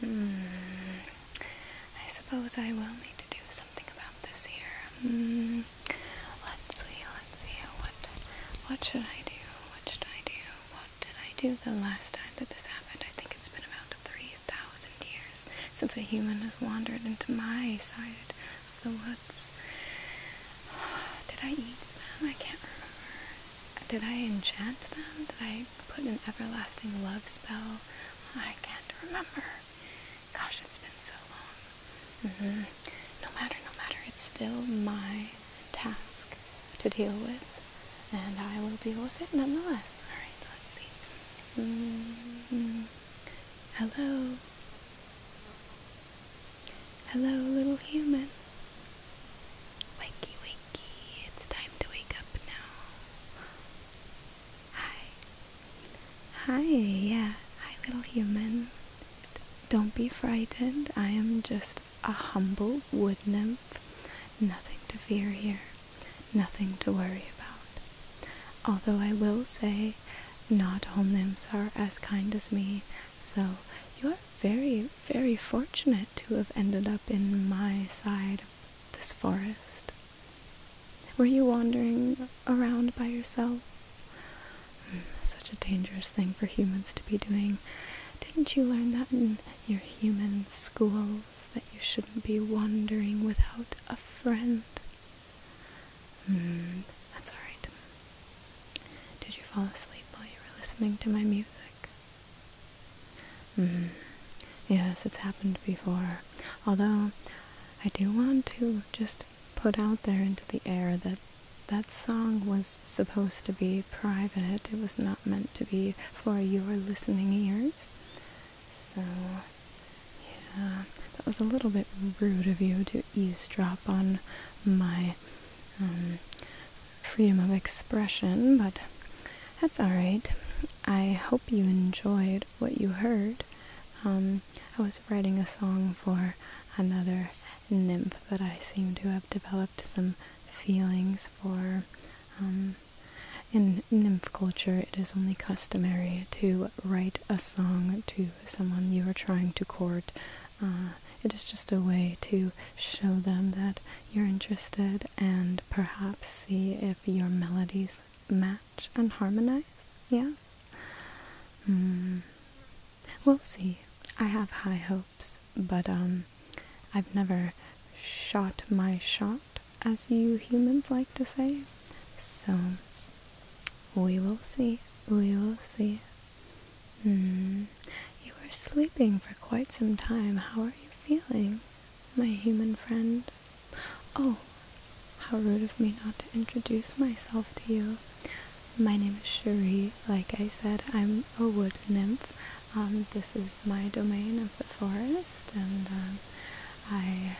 Hmm. I suppose I will need to do something about this here. Hmm. Let's see, let's see. What what should I do? What should I do? What did I do the last time that this happened? I think it's been about three thousand years since a human has wandered into my side of the world. Did I eat them? I can't remember. Did I enchant them? Did I put an everlasting love spell? I can't remember. Gosh, it's been so long. Mm-hmm. No matter, no matter. It's still my task to deal with, and I will deal with it nonetheless. All right, let's see. Mm-hmm. Hello. Hello, little human. Wakey, wakey. It's time to wake up now. Hi. Hi, yeah. Hi, little human. Don't be frightened. I am just a humble wood nymph. Nothing to fear here. Nothing to worry about. Although I will say, not all nymphs are as kind as me, so you are very, very fortunate to have ended up in my side of this forest. Were you wandering around by yourself? Hmm, such a dangerous thing for humans to be doing. Didn't you learn that in your human schools that you shouldn't be wandering without a friend? Hmm, that's alright. Did you fall asleep while you were listening to my music? Hmm, yes, it's happened before. Although, I do want to just put out there into the air that that song was supposed to be private. It was not meant to be for your listening ears. So, yeah, that was a little bit rude of you to eavesdrop on my um, freedom of expression, but that's alright. I hope you enjoyed what you heard. Um, I was writing a song for another nymph that I seem to have developed some feelings for. Um, in nymph culture, it is only customary to write a song to someone you are trying to court. Uh, it is just a way to show them that you're interested and perhaps see if your melodies match and harmonize. Yes? Hmm. We'll see. I have high hopes, but um, I've never shot my shot as you humans like to say. So, we will see. We will see. Hmm, you were sleeping for quite some time. How are you feeling, my human friend? Oh, how rude of me not to introduce myself to you. My name is Cherie. Like I said, I'm a wood nymph. Um, this is my domain the forest, and um, I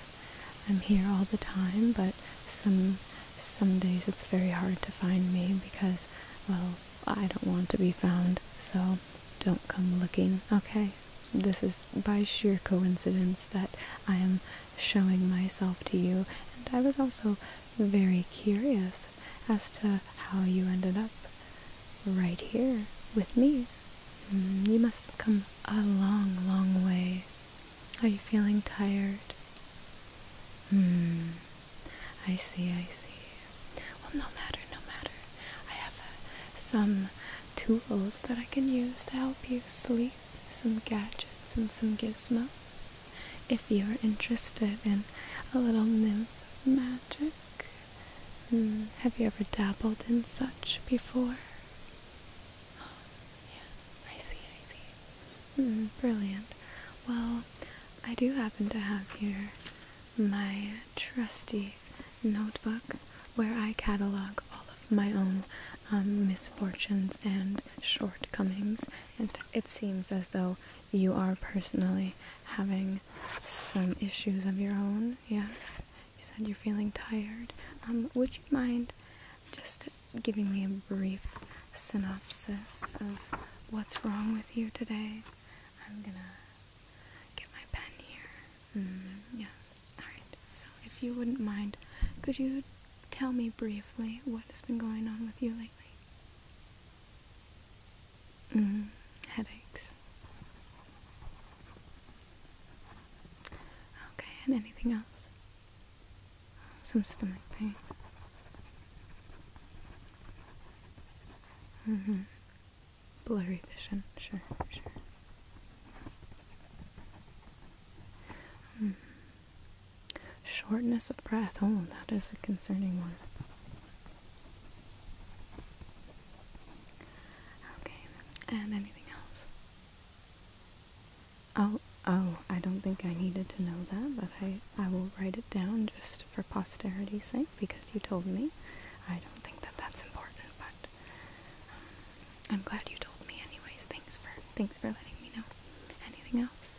am here all the time. But some some days it's very hard to find me because, well, I don't want to be found. So don't come looking. Okay, this is by sheer coincidence that I am showing myself to you, and I was also very curious as to how you ended up right here with me. Mm, you must have come a long, long way. Are you feeling tired? Hmm. I see, I see. Well, no matter, no matter. I have uh, some tools that I can use to help you sleep, some gadgets and some gizmos. If you're interested in a little nymph magic? Hmm, have you ever dabbled in such before? yes, I see, I see. Hmm, brilliant. Well, I do happen to have here my trusty notebook where I catalog all of my own um, misfortunes and shortcomings, and it seems as though you are personally having some issues of your own. Yes, you said you're feeling tired. Um, would you mind just giving me a brief synopsis of what's wrong with you today? I'm gonna get my pen here. Mm, yes, alright. So, if you wouldn't mind, could you tell me briefly what has been going on with you lately? Mm-hmm. headaches. Okay, and anything else? Some stomach pain. Mm hmm Blurry vision, sure, sure. Mm-hmm. Shortness of breath, oh, that is a concerning one. Okay, and anything else? Oh, oh, I don't think I needed to know that, but I, I will write it down just for posterity's sake because you told me. I don't think that that's important, but um, I'm glad you told me anyways. Thanks for, thanks for letting me know. Anything else?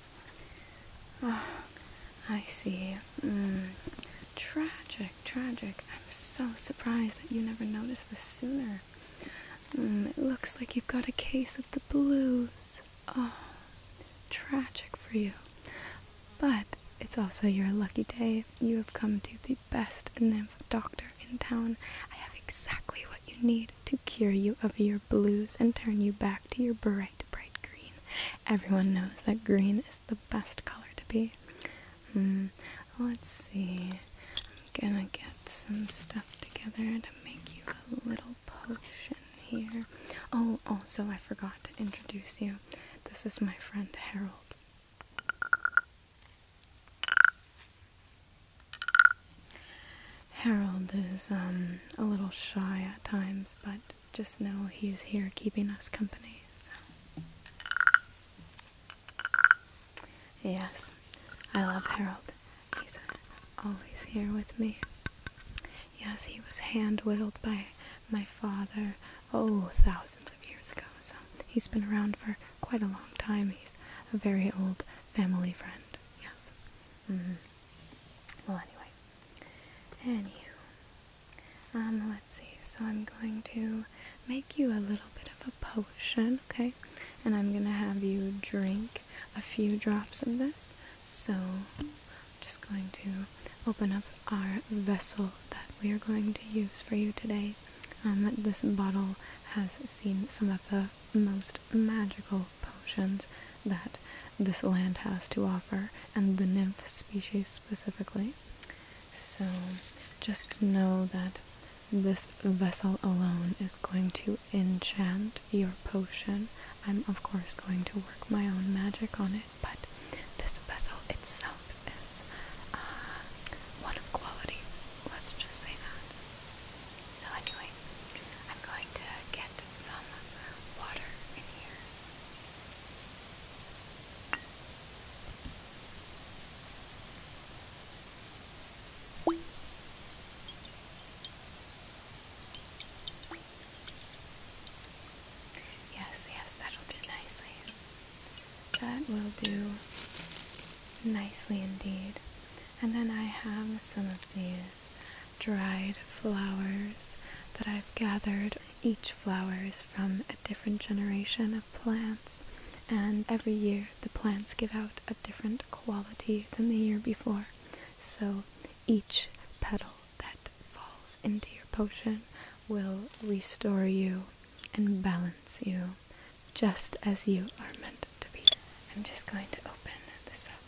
Oh, I see. Mm. Tragic, tragic. I'm so surprised that you never noticed this sooner. Mm, it looks like you've got a case of the blues. Oh, tragic for you. But it's also your lucky day. You have come to the best nymph doctor in town. I have exactly what you need to cure you of your blues and turn you back to your bright, bright green. Everyone knows that green is the best color to be. Mm, let's see. I'm gonna get some stuff together to make you a little potion here. Oh, also, I forgot to introduce you. This is my friend Harold. Harold is um, a little shy at times, but just know he is here keeping us company. Yes, I love Harold. He's always here with me. Yes, he was hand whittled by my father, oh, thousands of years ago. So he's been around for quite a long time. He's a very old family friend. Yes hmm Well, anyway. Anywho. Um, let's see. So I'm going to make you a little bit of a potion, okay? And I'm going to have you drink a few drops of this. So I'm just going to open up our vessel that we are going to use for you today. Um, this bottle has seen some of the most magical potions that this land has to offer, and the nymph species specifically. So just know that this vessel alone is going to enchant your potion. I'm, of course, going to work my own magic on it, but this vessel itself is uh, one of quality. Let's just say that. So, anyway, I'm going to get some water in here. Yes, yes, that'll do nicely. That will do nicely indeed. And then I have some of these dried flowers that I've gathered. Each flower is from a different generation of plants, and every year the plants give out a different quality than the year before. So each petal that falls into your potion will restore you and balance you just as you are meant to be. I'm just going to open this up.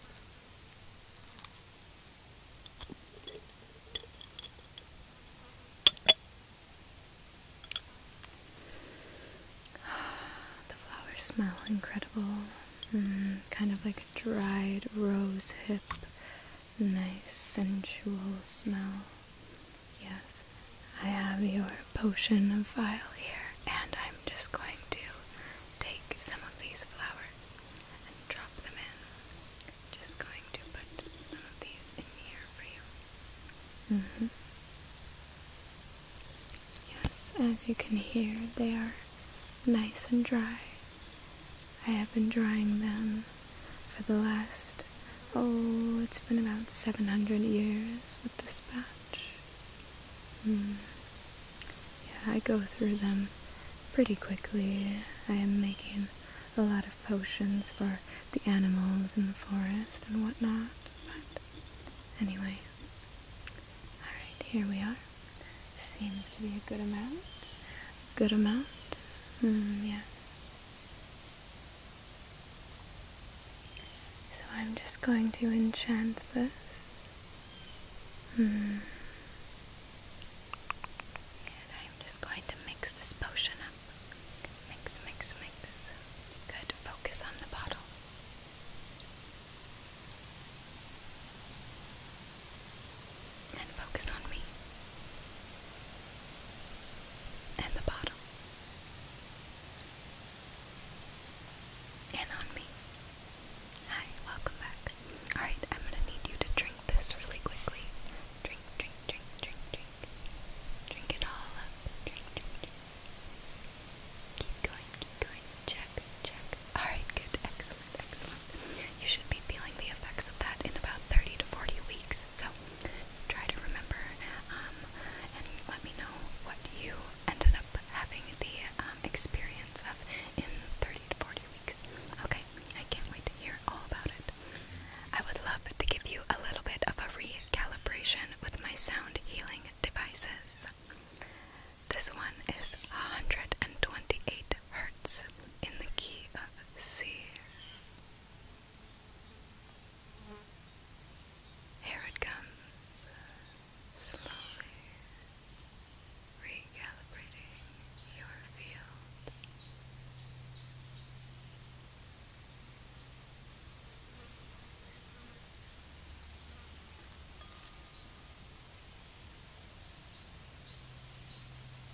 The flowers smell incredible. Mm, kind of like a dried rose hip. Nice sensual smell. Yes, I have your potion vial here, and I'm just going to take some of these flowers and drop them in. Just going to put some of these in here for you. Mm-hmm. Yes, as you can hear, they are nice and dry. I have been drying them for the last Oh, it's been about 700 years with this batch. Hmm. Yeah, I go through them pretty quickly. I am making a lot of potions for the animals in the forest and whatnot. But anyway, alright, here we are. Seems to be a good amount. Good amount? Mm, yes. So I'm just going to enchant this. Hmm. And I'm just going to mix this potion up. Mix, mix, mix. Good, focus on the bottle. And focus on me. And the bottle. And on me. Hi, welcome back. Alright, I'm gonna need you to drink this really quickly. Drink, drink, drink, drink, drink. Drink it all up. Drink, drink, drink. Keep going, keep going. Check, check. Alright, good. Excellent, excellent. You should be feeling the effects of that in about 30 to 40 weeks, so try to remember um, and let me know what you ended up having the um, experience of in 30 to 40 weeks. Okay, I can't wait to hear all about it. I would love to give you a little bit of a recalibration with my sound healing devices. This one is 128 hertz in the key of C. Here it comes, slowly recalibrating your field.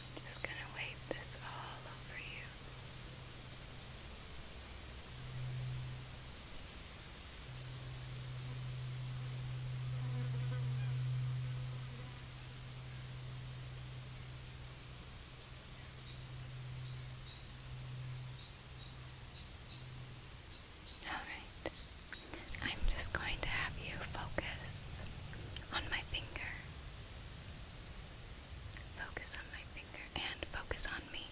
I'm just going to wave this all over you. Alright, I'm just going to have you focus on my finger. Focus on my finger and focus on me.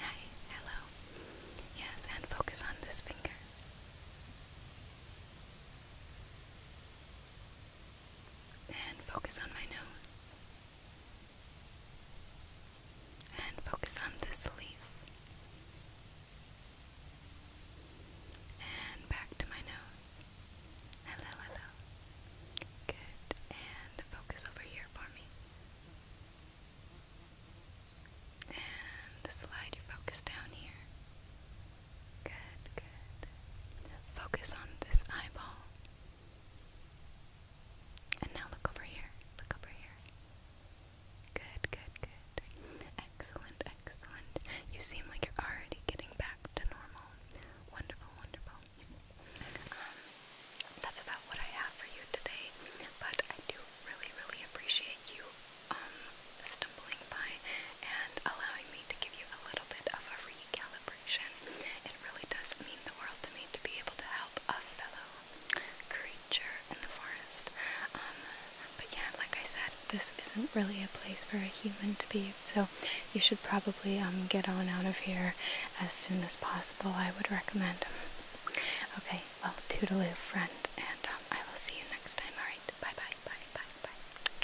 Hi, hello. Yes, and focus on this finger. And focus on my nose. And focus on this leaf. And back to my nose. Hello, hello. Good. And focus over here for me. And slide your focus down here. Good, good. Focus on this eyeball. And now look over here. Look over here. Good, good, good. Excellent, excellent. You seem like you're already getting back to normal. Wonderful, wonderful. Um, that's about what I have for you today. But I do really, really appreciate you um, stumbling by and allowing me to give you a little bit of a recap it really does mean the world to me to be able to help a fellow creature in the forest. Um, but yeah, like I said, this isn't really a place for a human to be, so you should probably um, get on out of here as soon as possible. I would recommend. Okay, well, toodaloo, friend, and um, I will see you next time. All right, bye, bye, bye, bye, bye.